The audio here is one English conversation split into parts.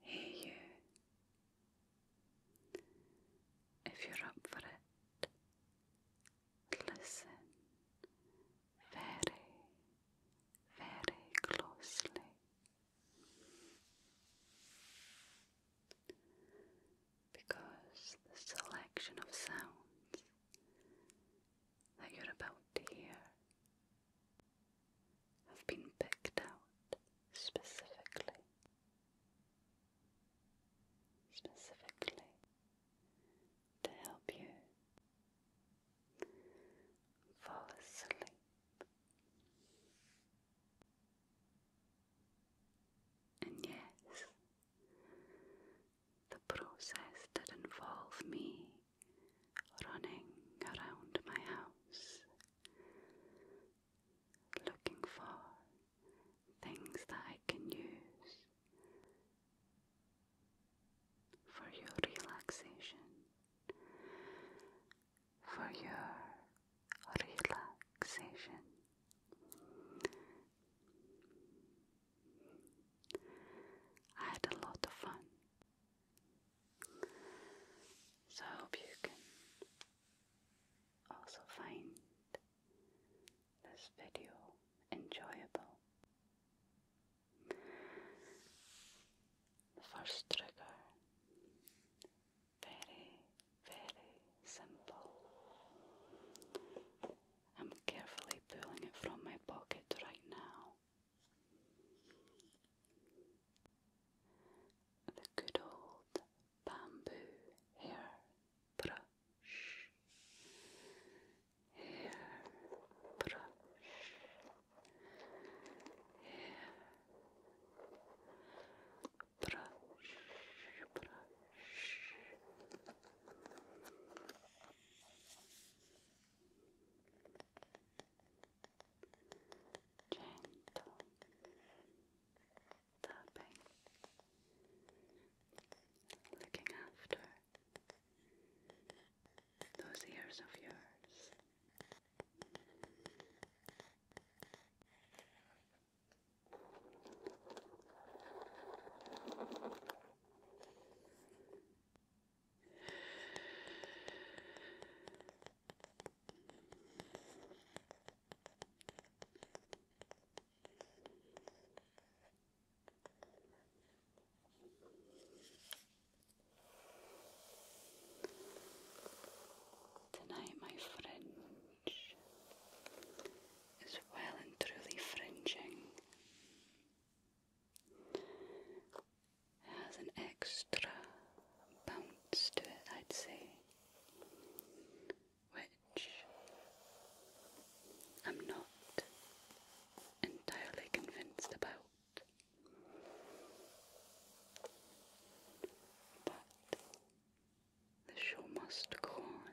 Hey you. If you're up for it, listen very, very closely. Because the selection of sounds that you're about to hear have been picked out specifically. Specifically to help you fall asleep. And yes, the process did involve me running around my house looking for things that I can use for your relaxation, for your relaxation. I had a lot of fun so I hope you can also find this video enjoyable. The first trigger, very, very simple. I'm carefully pulling it from my pocket right now. The good old bamboo hairbrush, hairbrush, hairbrush, brush gentle tapping, looking after those ears of yours. Tonight, my fringe is well and truly fringing has an extra bounce to it, I'd say, which I'm not entirely convinced about. But the show must go on.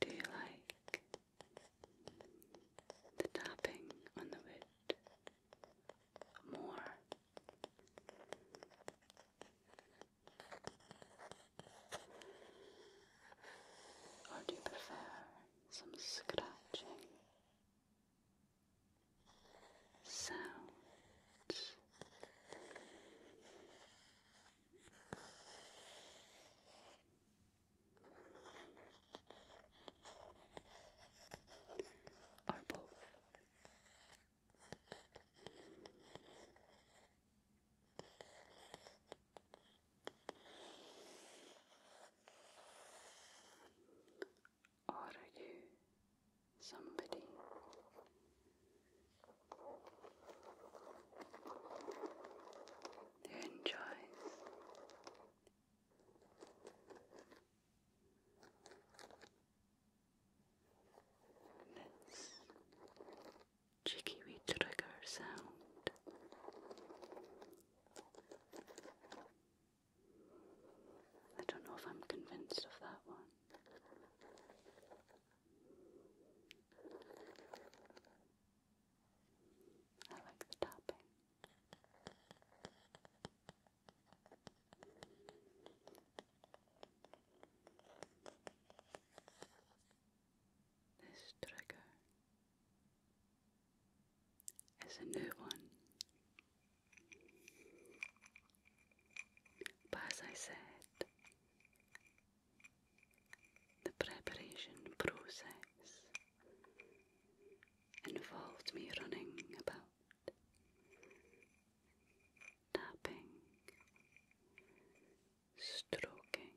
Do you like the tapping on the wood more? Or do you prefer some scratching sounds? Or both. Are you somebody. enjoys this cheeky trigger sound? I don't know if I'm convinced of that one. I like the topping. This trigger is a new one. But as I said, the preparation process involved me running about, tapping, stroking,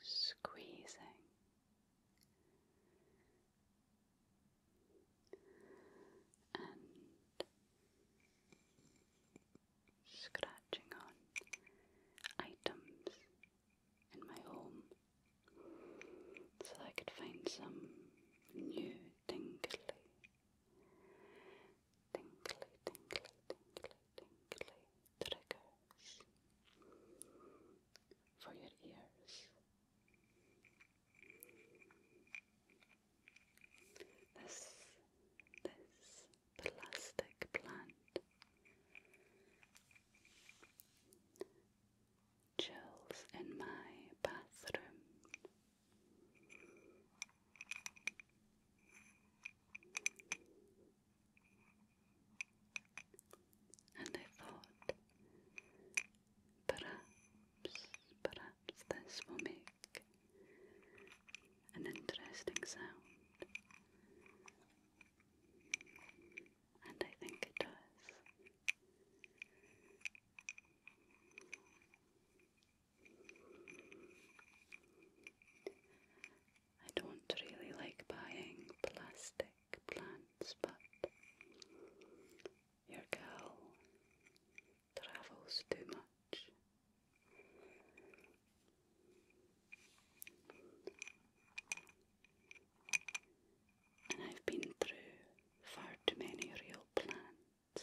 squeezing, and scratching on items in my home so I could find some new tingly, tingly, tingly, tingly, tingly triggers for your ears. This, this plastic plant chills in my bathroom. And I thought Perhaps, perhaps this will make an interesting sound. And I think it does. I don't really like buying plastic plants, but your gal travels too much. And I've been through far too many real plants.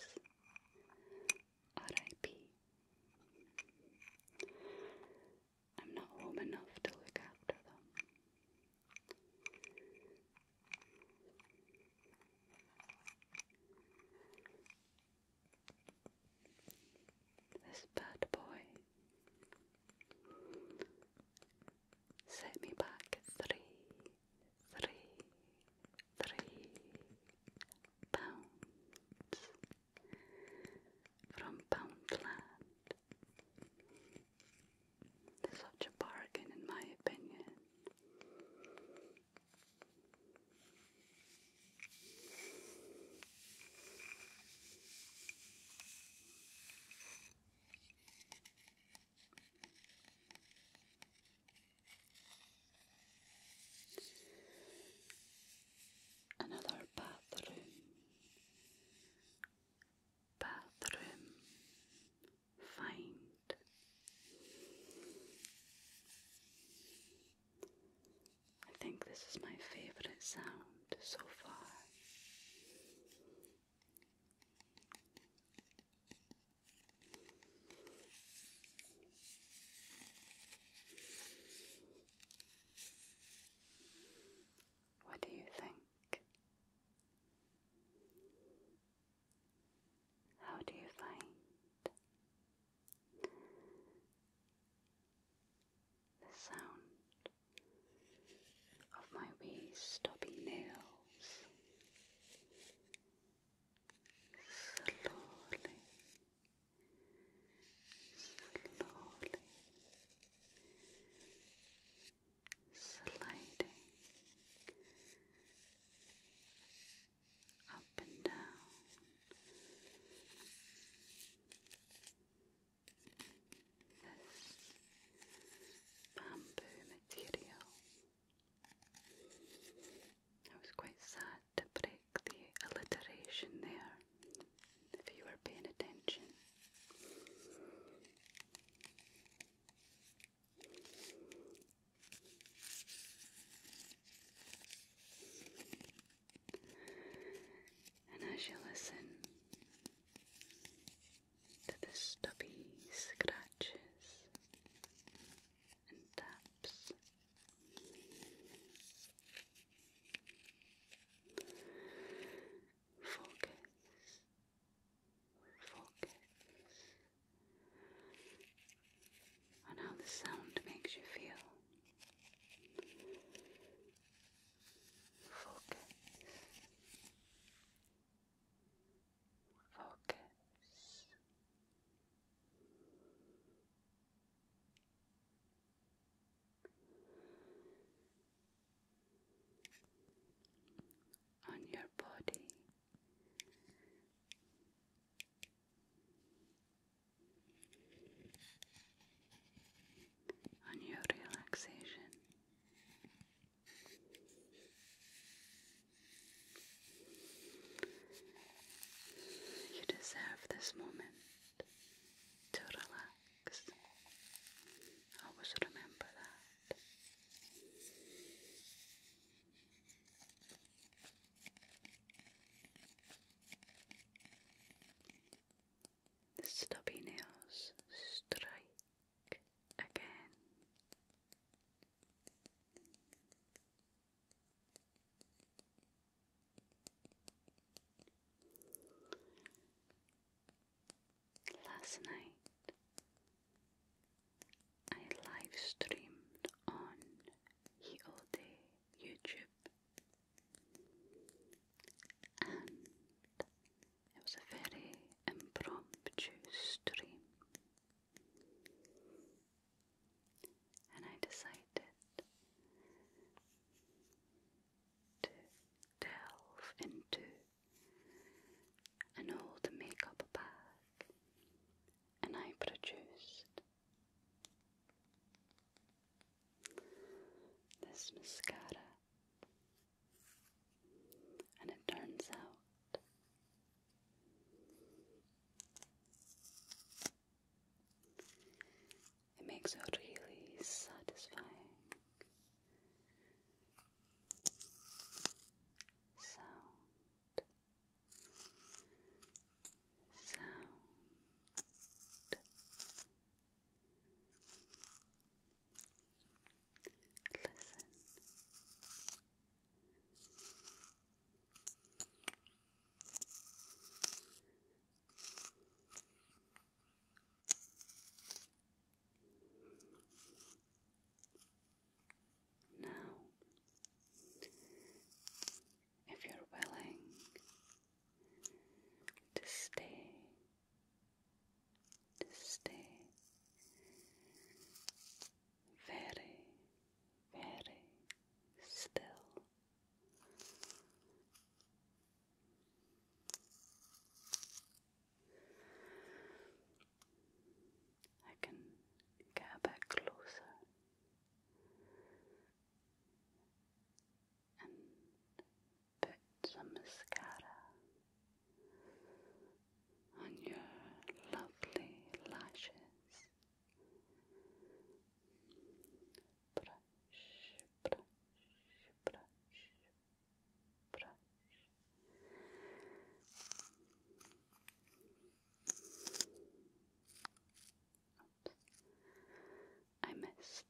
R.I.P. I'm not home enough to look after them. This bad boy set me back three, three, three pounds from Poundland. Such a bargain, in my opinion. Another bathroom bathroom find. I think this is my favourite sound so far. What do you think? How do you find the sound of my wee stubby nails slowly, slowly sliding up and down. This bamboo material. I was quite sad to break the alliteration there if you were paying attention. And as you listen to the stubby scratches and taps, focus Focus on how the sound makes you feel. Focus. Focus on your body. On your relaxation, you deserve this moment to relax. I Always remember that. The stubby nails strike again. Last night I live streamed on EOD YouTube and it was a very impromptu stream. And I decided to delve into an old makeup bag, and I produced this mascara, and it turns out. It makes it really satisfying. Sound, sound. Listen. Now, if you're willing to stay, to stay very, very still. I can get a closer and put some mascara on your lovely lashes brush. Oops. I missed.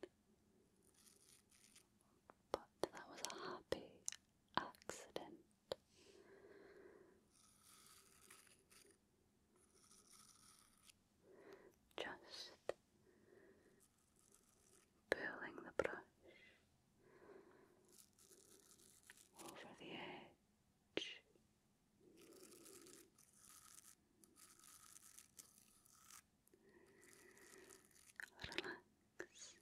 But that was a happy accident. Just pulling the brush over the edge. Relax, relax, relax.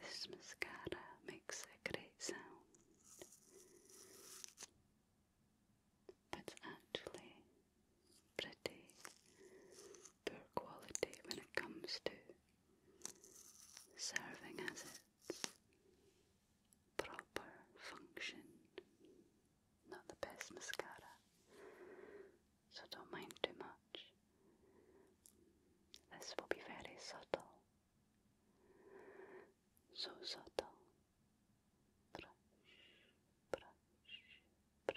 This mascara makes a great sound, but it's actually pretty poor quality when it comes to serving as its proper function. Not the best mascara, so don't mind too much. This will be very subtle. So subtle. Brush, brush,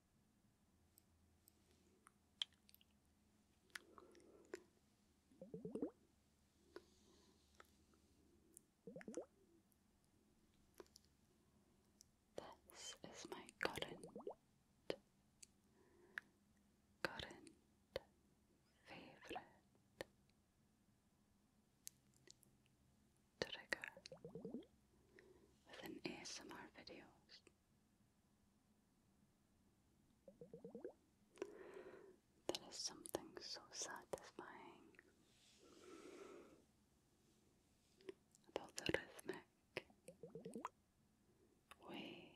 This is my current, current favorite trigger within ASMR videos. There is something so satisfying about the rhythmic way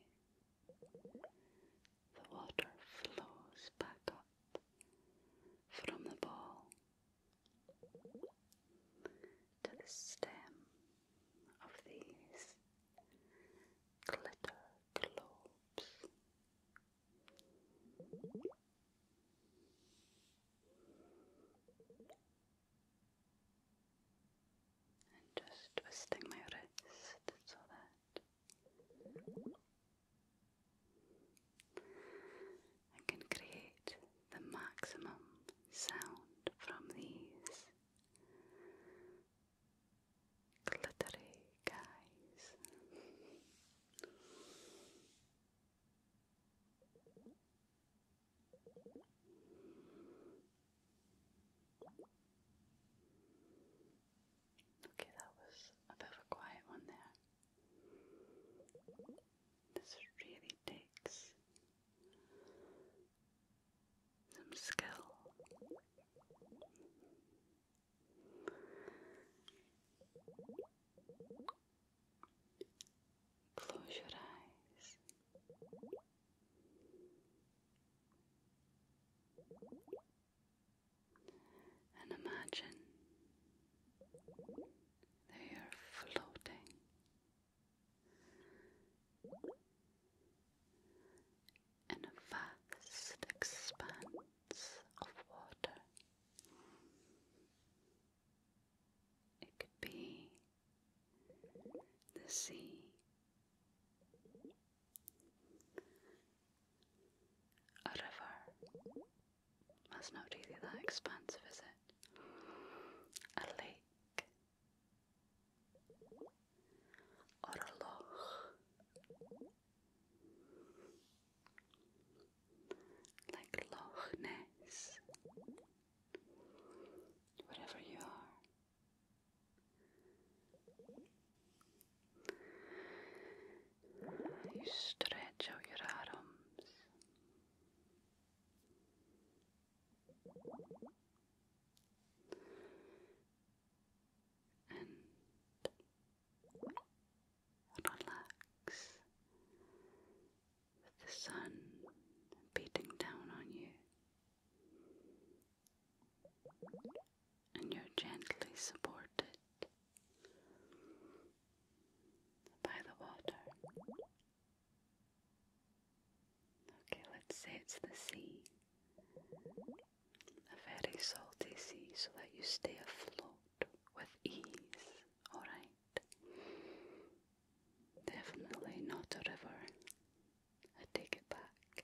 the water flows back up from the ball to the stem of these glitter globes. And just twisting my wrist so that I can create the maximum sound from these glittery guys. Okay, that was a bit of a quiet one there. This really takes some skill. Close your eyes. And imagine that you're floating in a vast expanse of water. It could be the sea, a river. That's not really that expansive, is it? A lake. Orloch. Like Loch Ness. you are. stretch out your arms and relax with the sun beating down on you. And you're gently supported by the water. Okay, let's say it's the sea. A very salty sea so that you stay afloat with ease, alright? Definitely not a river. I take it back.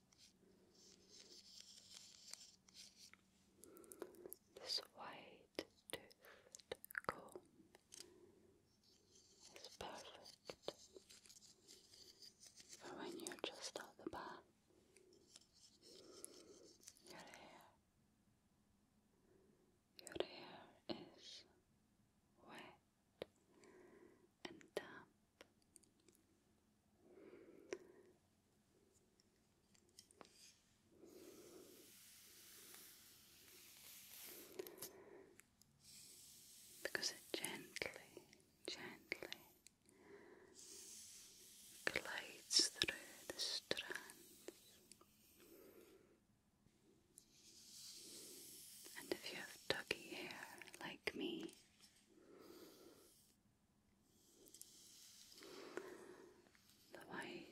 This white toothed comb is perfect for when you're just out the bath. Your hair, your hair is wet and tap. Because it gently, gently glides through the strands. And if you have tuggy hair like me, the white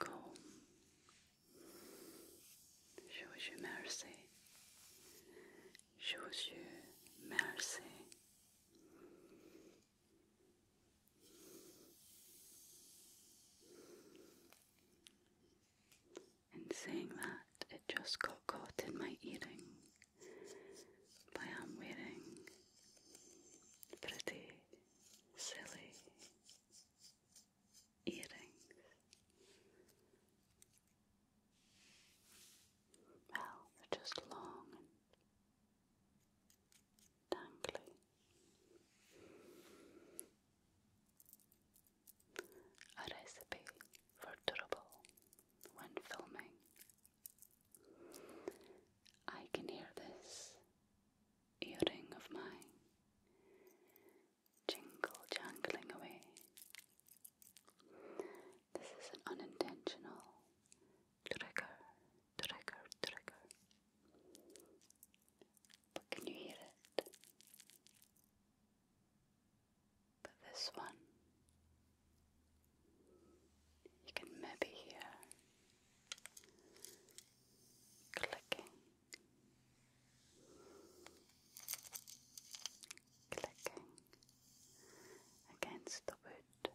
comb shows you mercy, shows you mercy. In saying that, it just got caught in my earring. I am wearing pretty silly earrings. Well, they're just long and dangly a recipe for trouble when filming. I can hear this earring of mine jingle jangling away. This is an unintentional trigger, trigger, trigger. But can you hear it? But this one, you can maybe hear clicking, clicking against the wood.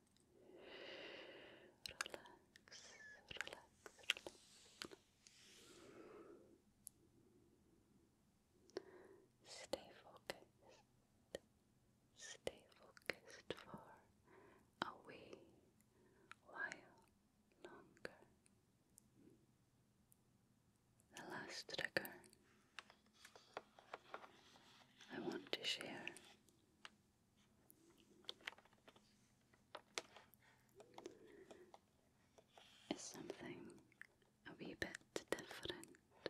relax, relax, Stay focused, stay focused for a wee while longer. The last trigger I want to share is something a wee bit different.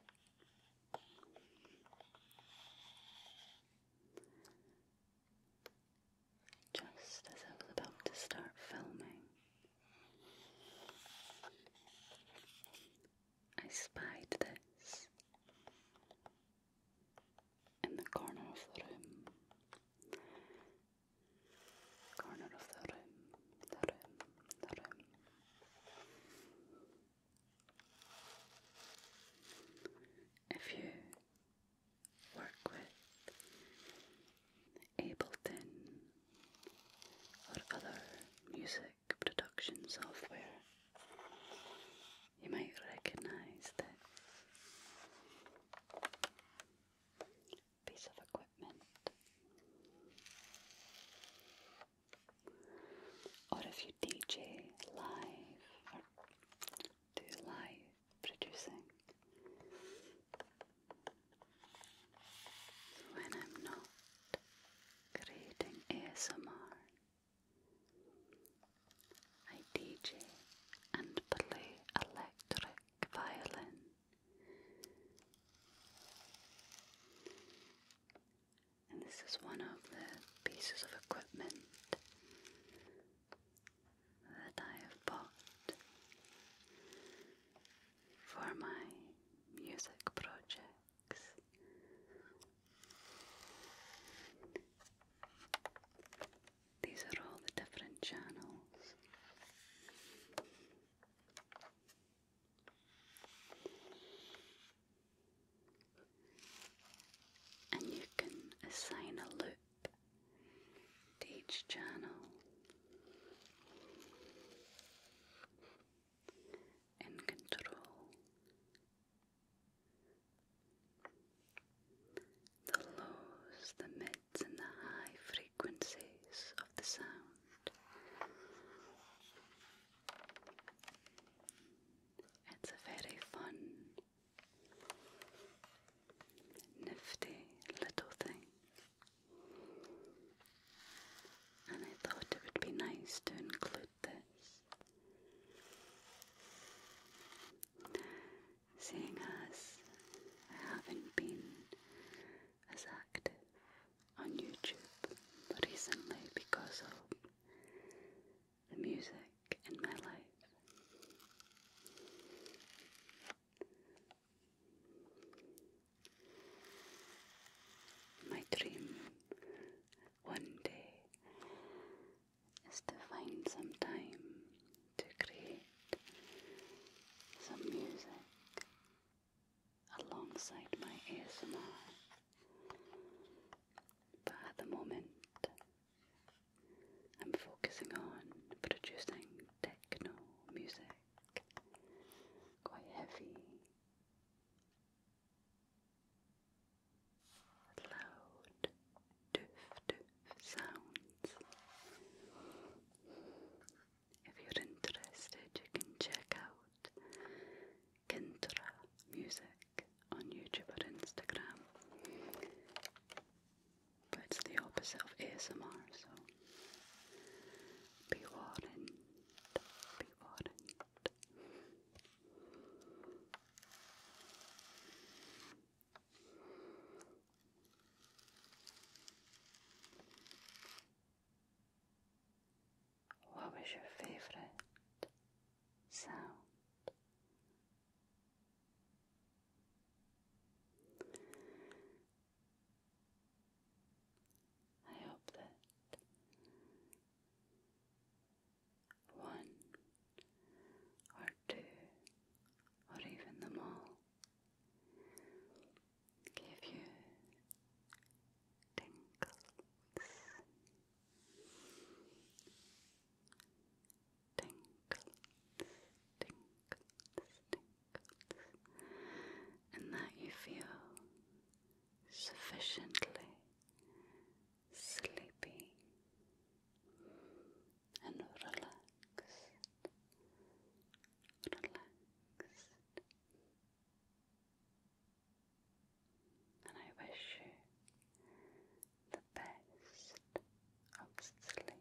Just as I was about to start filming, I spied this in the corner of the room. Corner of the room, the room, the room. If you work with Ableton or other music production software, you might recognize this piece of equipment. Or if you DJ live or do live producing. When I'm not creating ASMR, I DJ and play electric violin. And this is one of the pieces of equipment that I have bought for my music projects. These are all the different channels. And you can assign a loop to each channel in control the lows, the mids, and the high frequencies of the sound. It's a very fun, nifty little thing. And I thought it would be nice to include this Seeing as I haven't been as active on YouTube recently because of the music in my life. My dream one day is to find some time to create some music alongside my ASMR. But at the moment, I'm focusing on producing techno music, quite heavy, loud doof doof sounds. If you're interested, you can check out Kintra Music on YouTube or Instagram. But it's the opposite of ASMR, so be warned. Be warned. What was your favorite sound? I hope that one, or two, or even them all, give you tingles, tingles, tingles, tingles, and that you feel sufficiently sleepy and relaxed, relaxed. And I wish you the best of sleep.